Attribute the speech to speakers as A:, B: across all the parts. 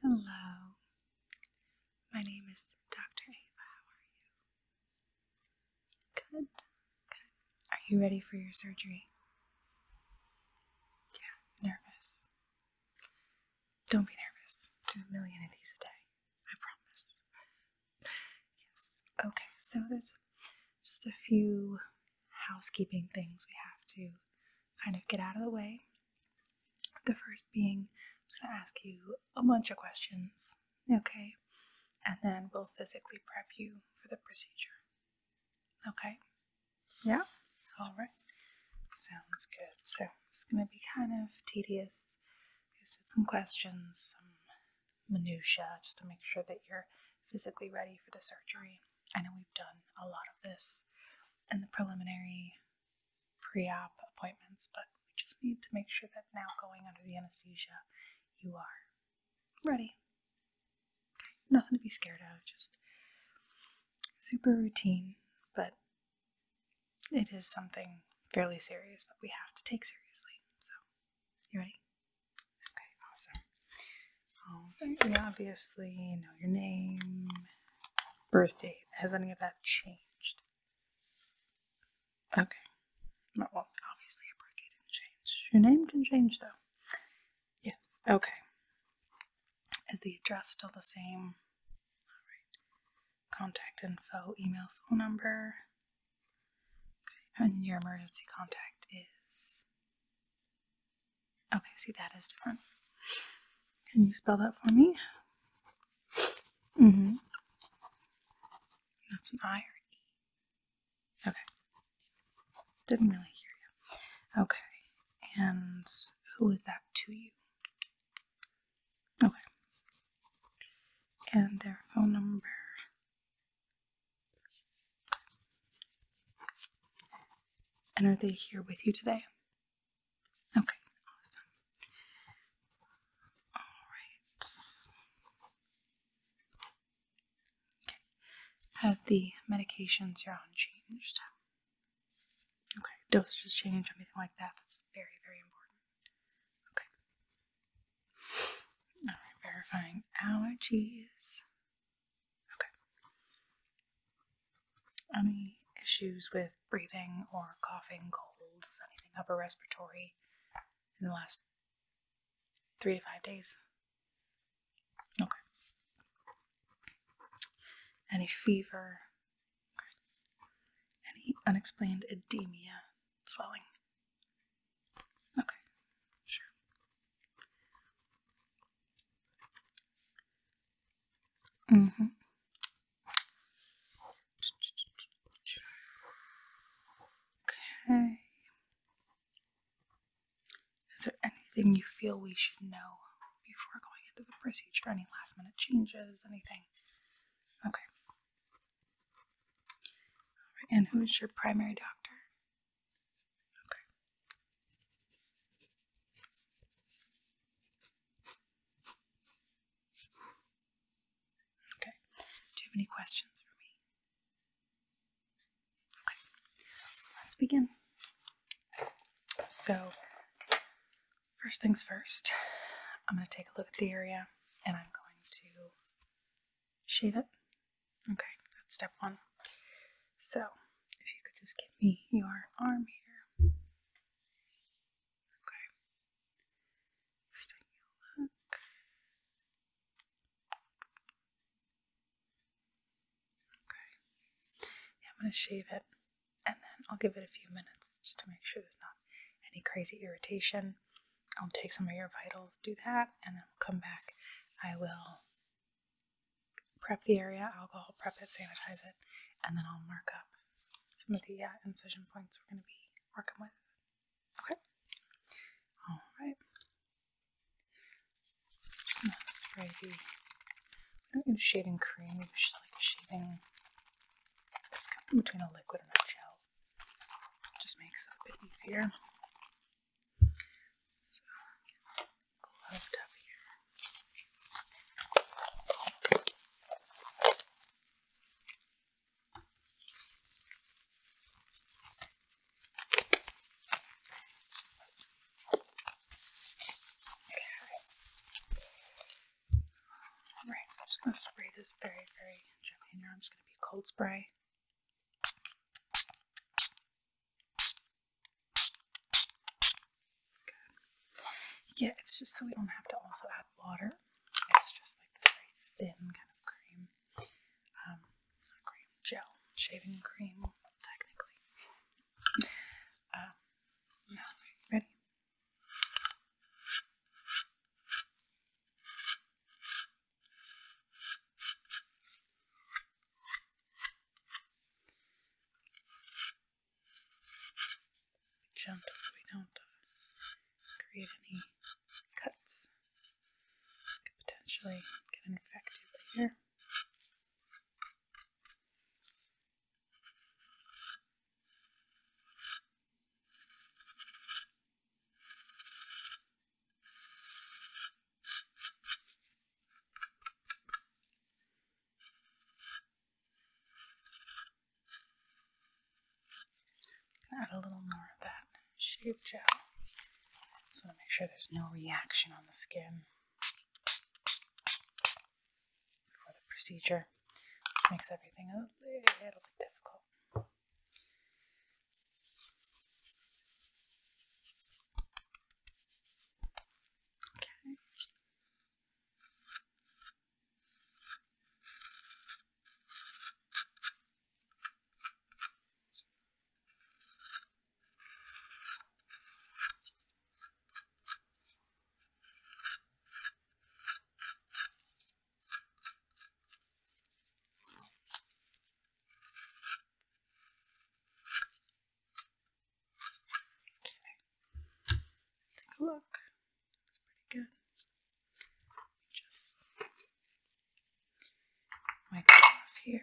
A: Hello, my name is Dr. Ava. How are you? Good, good. Are you ready for your surgery? Yeah, nervous. Don't be nervous. Do a million of these a day. I promise. Yes. Okay, so there's just a few housekeeping things we have to kind of get out of the way. The first being, I'm going to ask you a bunch of questions, okay? And then we'll physically prep you for the procedure. Okay? Yeah? All right. Sounds good. So it's going to be kind of tedious. I said some questions, minutiae just to make sure that you're physically ready for the surgery. I know we've done a lot of this in the preliminary pre op appointments, but we just need to make sure that now going under the anesthesia, you are ready. nothing to be scared of, just super routine, but it is something fairly serious that we have to take seriously. So, you ready? Okay, awesome. All right, we obviously know your name, birth date. Has any of that changed? Okay. Well, obviously your birth didn't change. Your name didn't change though. Yes. Okay. Is the address still the same? contact info, email, phone number. Okay, and your emergency contact is. Okay, see, that is different. Can you spell that for me? hmm. That's an I or E. Okay. Didn't really hear you. Okay. And who is that to you? Okay. And their phone number. And are they here with you today? Okay, awesome. All right. Okay. Have the medications you're on changed? Okay, dosages change, anything like that. That's very, very important. Okay. All right, verifying allergies. Okay. Any issues with breathing or coughing, colds, anything upper respiratory in the last three to five days? Okay. Any fever, any unexplained edema, swelling? Okay, sure. Mm hmm. Okay. Is there anything you feel we should know before going into the procedure? Any last minute changes? Anything? Okay and who is your primary doctor? Okay. Okay. Do you have any questions for me? Okay. Let's begin. So, First things first, I'm going to take a look at the area and I'm going to shave it. Okay, that's step one. So, if you could just give me your arm here. Okay. Let's take a look. Okay. I'm going to shave it and then I'll give it a few minutes just to make sure there's not any crazy irritation. I'll take some of your vitals, do that, and then we'll come back. I will prep the area, alcohol prep it, sanitize it, and then I'll mark up some of the uh, incision points we're going to be working with. Okay? All spray the I'm going to shading cream, which is like a shaving it's kind of between a liquid and a gel. just makes it a bit easier. So, get up here. Alright, so I'm just going to spray this very, very gently here. I'm just going to be cold spray. Yeah, it's just so we don't have to also add water. It's just like this very thin kind of cream. Um, cream, gel, shaving cream, technically. Uh, ready? Be gentle so we don't create any cuts. Could potentially get infected later. Add a little more of that shave gel so to make sure there's no reaction on the skin for the procedure, makes everything a little bit difficult. Okay. Okay. Take a look. Looks pretty good. Just wipe it off here.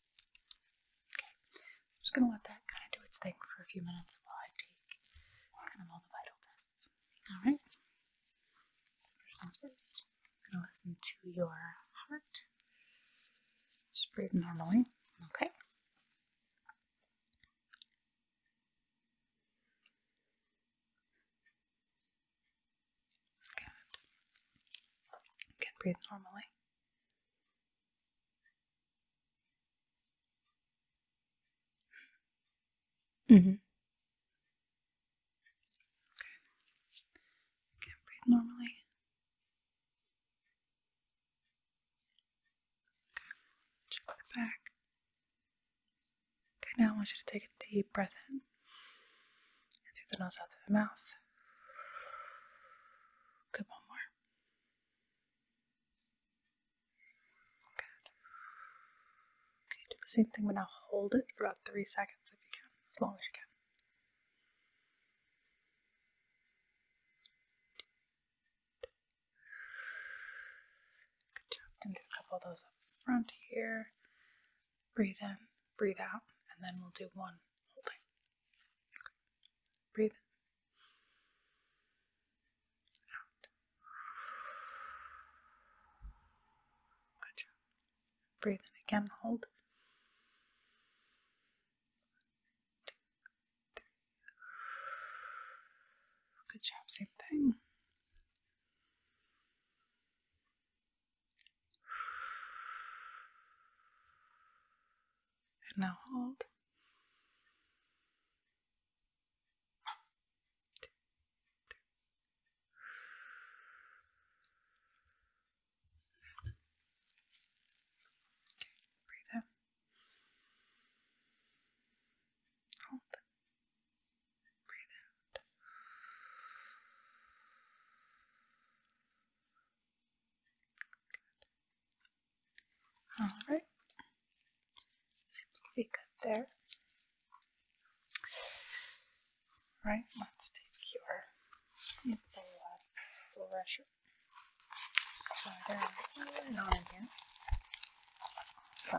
A: Okay, I'm just going to let that kind of do its thing for a few minutes while I take kind of all the vital tests. All right. First things first. I'm going to listen to your heart. Just breathe normally. Okay. Good. Again, breathe normally. Mm-hmm. Okay. can't breathe normally. Okay. Check the back. Okay, now I want you to take a deep breath in. through the nose, out through the mouth. Good, one more. Good. Okay, do the same thing, but now hold it for about three seconds if you can, as long as you can. Good job. Then do a couple of those up front here. Breathe in, breathe out, and then we'll do one holding. Breathe in. Out. Good job. Breathe in again. Hold. Two, three. Good job. Same thing. And now hold. Okay, breathe in. Hold. Breathe out. All right. Seems to be good there. All let's take your blood pressure. So there, not in So.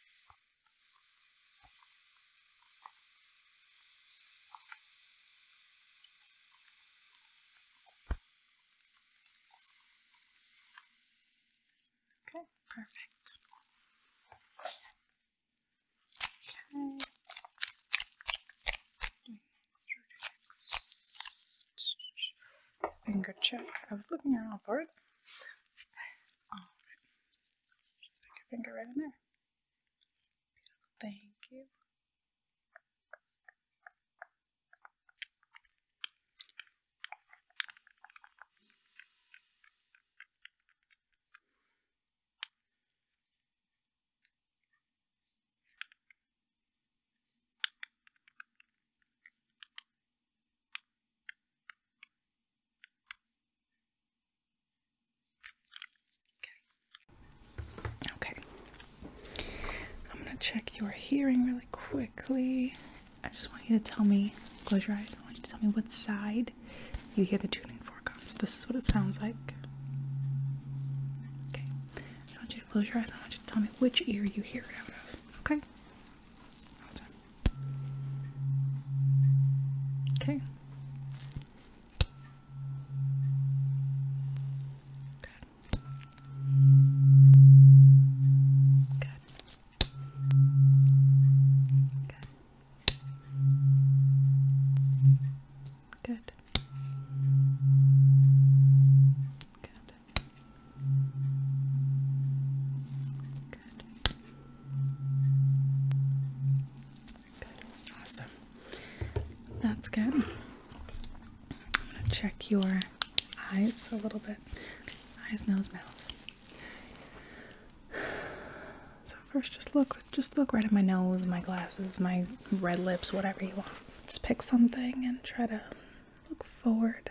A: Okay, perfect. Okay. Next, next. Finger check. I was looking around for it. stick your finger right in there. Thank you. Okay. I'm gonna check your hearing really quickly. I just want you to tell me, close your eyes, I want you to tell me what side you hear the tuning fork on. So this is what it sounds like. Okay. I want you to close your eyes, I want you to tell me which ear you hear it out of. Okay? Awesome. Okay. Good. Good. Good. Good. Good. Good. Awesome. That's good. I'm gonna check your eyes a little bit. Eyes, nose, mouth. So first just look just look right at my nose, my glasses, my red lips, whatever you want. Just pick something and try to look forward.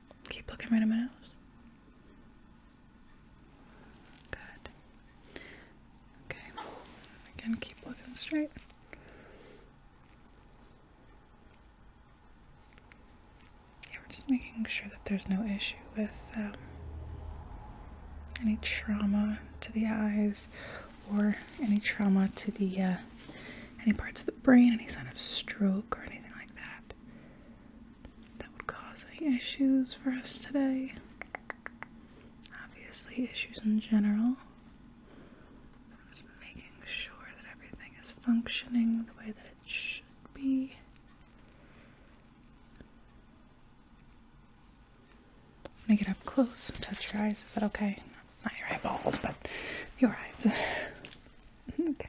A: Keep looking right in my nose. Good. Okay. Again, keep looking straight. Yeah, we're just making sure that there's no issue with um, any trauma to the eyes or any trauma to the uh, any parts of the brain, any sign of stroke or anything like that that would cause any issues for us today. Obviously, issues in general. just making sure that everything is functioning the way that it should be. I'm get up close and touch your eyes. Is that okay? Not your eyeballs, but your eyes. okay.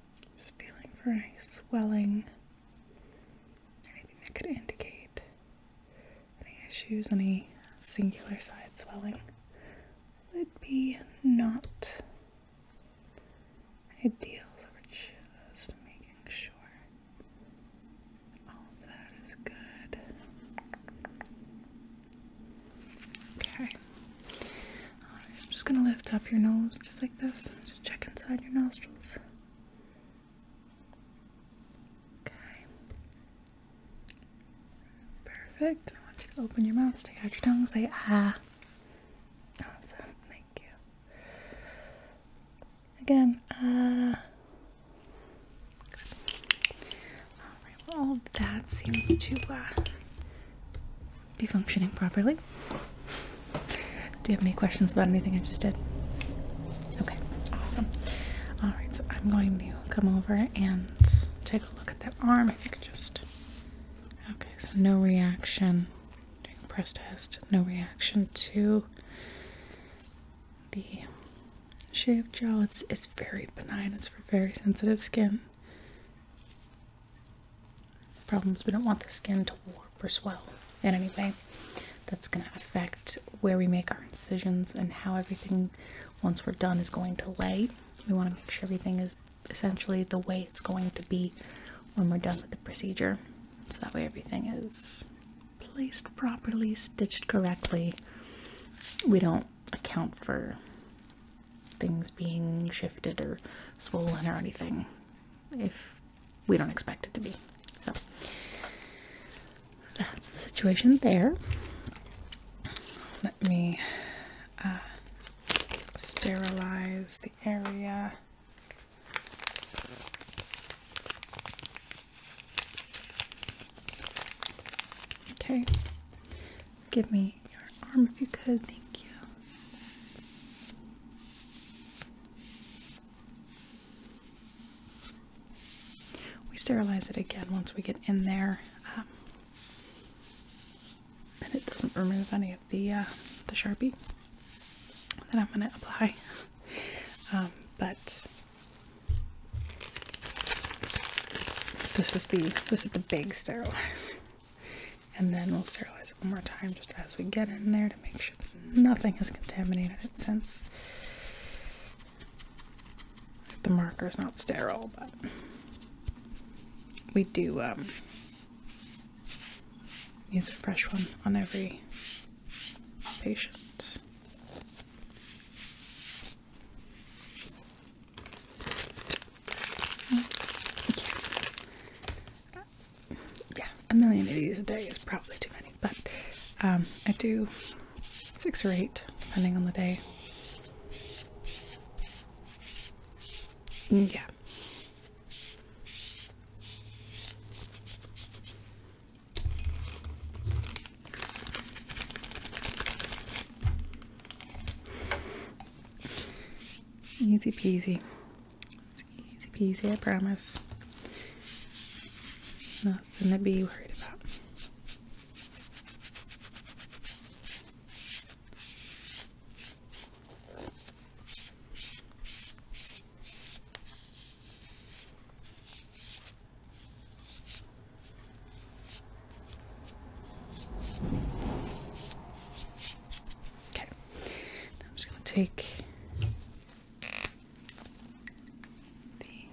A: Just feeling for any swelling, anything that could indicate any issues, any singular side swelling would be not ideal. So we're just making sure all of that is good. Okay. I'm just gonna lift up your nose just like this. Just check inside your nostrils. Okay. Perfect. I want you to open your mouth, stick out your tongue, say ah. Awesome, thank you. Again, ah. all that seems to uh, be functioning properly. Do you have any questions about anything I just did? Okay, awesome. All right, so I'm going to come over and take a look at that arm. If you could just. Okay, so no reaction. Doing press test, no reaction to the shaved gel. It's it's very benign. It's for very sensitive skin problems. We don't want the skin to warp or swell in any way. That's going to affect where we make our incisions and how everything, once we're done, is going to lay. We want to make sure everything is essentially the way it's going to be when we're done with the procedure. So that way everything is placed properly, stitched correctly. We don't account for things being shifted or swollen or anything if we don't expect it to be. So that's the situation there. Let me uh, sterilize the area. Okay, Give me your arm if you could. Thank you. We sterilize it again once we get in there. Um, and it doesn't remove any of the uh, the sharpie that I'm going to apply. Um, but this is the this is the big sterilize. And then we'll sterilize it one more time just as we get in there to make sure that nothing has contaminated it since the marker is not sterile, but we do um, use a fresh one on every patient. Yeah. a million of these a day is probably too many, but um, I do six or eight, depending on the day. Mm, yeah. Easy peasy. It's easy peasy, I promise. Nothing to be worried about. Okay, I'm just going to take the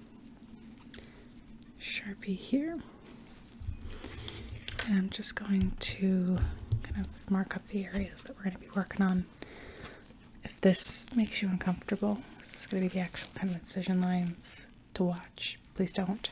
A: Sharpie here, and I'm just going to kind of mark up the areas that we're going to be working on. If this makes you uncomfortable, this is going to be the actual kind of incision lines to watch. Please don't.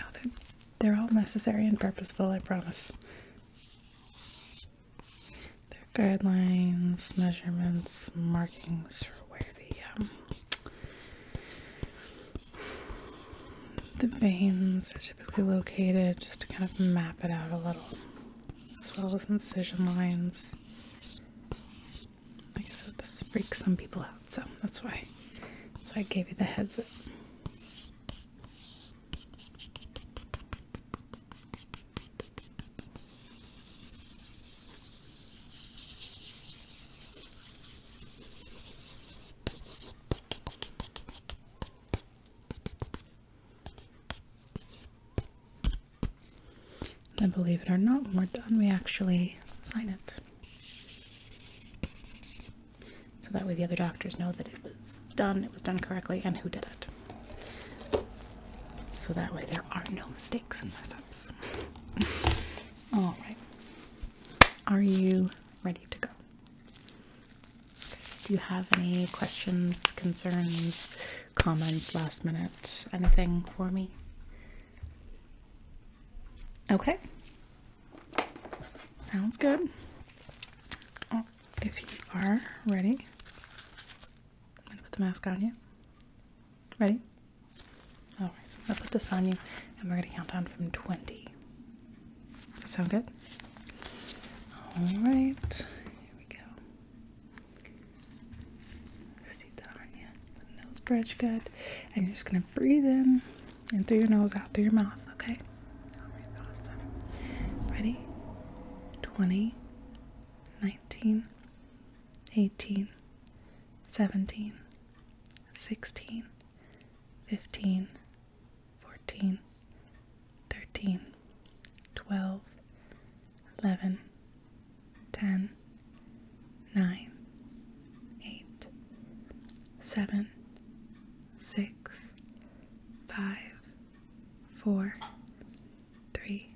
A: Oh, they're, all necessary and purposeful, I promise. They're guidelines, measurements, markings for where the um, the veins are typically located just to kind of map it out a little, as well as incision lines. I said, this freaks some people out, so that's why, that's why I gave you the heads up. And believe it or not, when we're done, we actually sign it. So that way the other doctors know that it was done, it was done correctly, and who did it. So that way there are no mistakes and mess Alright. Are you ready to go? Do you have any questions, concerns, comments, last minute, anything for me? Okay. Sounds good. Oh, if you are ready, I'm going to put the mask on you. Ready? Alright, so I'm going to put this on you and we're going to count down from 20 that sound good? All right, here we go. Steep that nose bridge good. And you're just going to breathe in, in through your nose, out through your mouth, okay? awesome. Ready? 20, 19, 18, 17, 16, 15, 14, 13, 12, 11, 10, 9, 8, 7, 6, 5, 4, 3,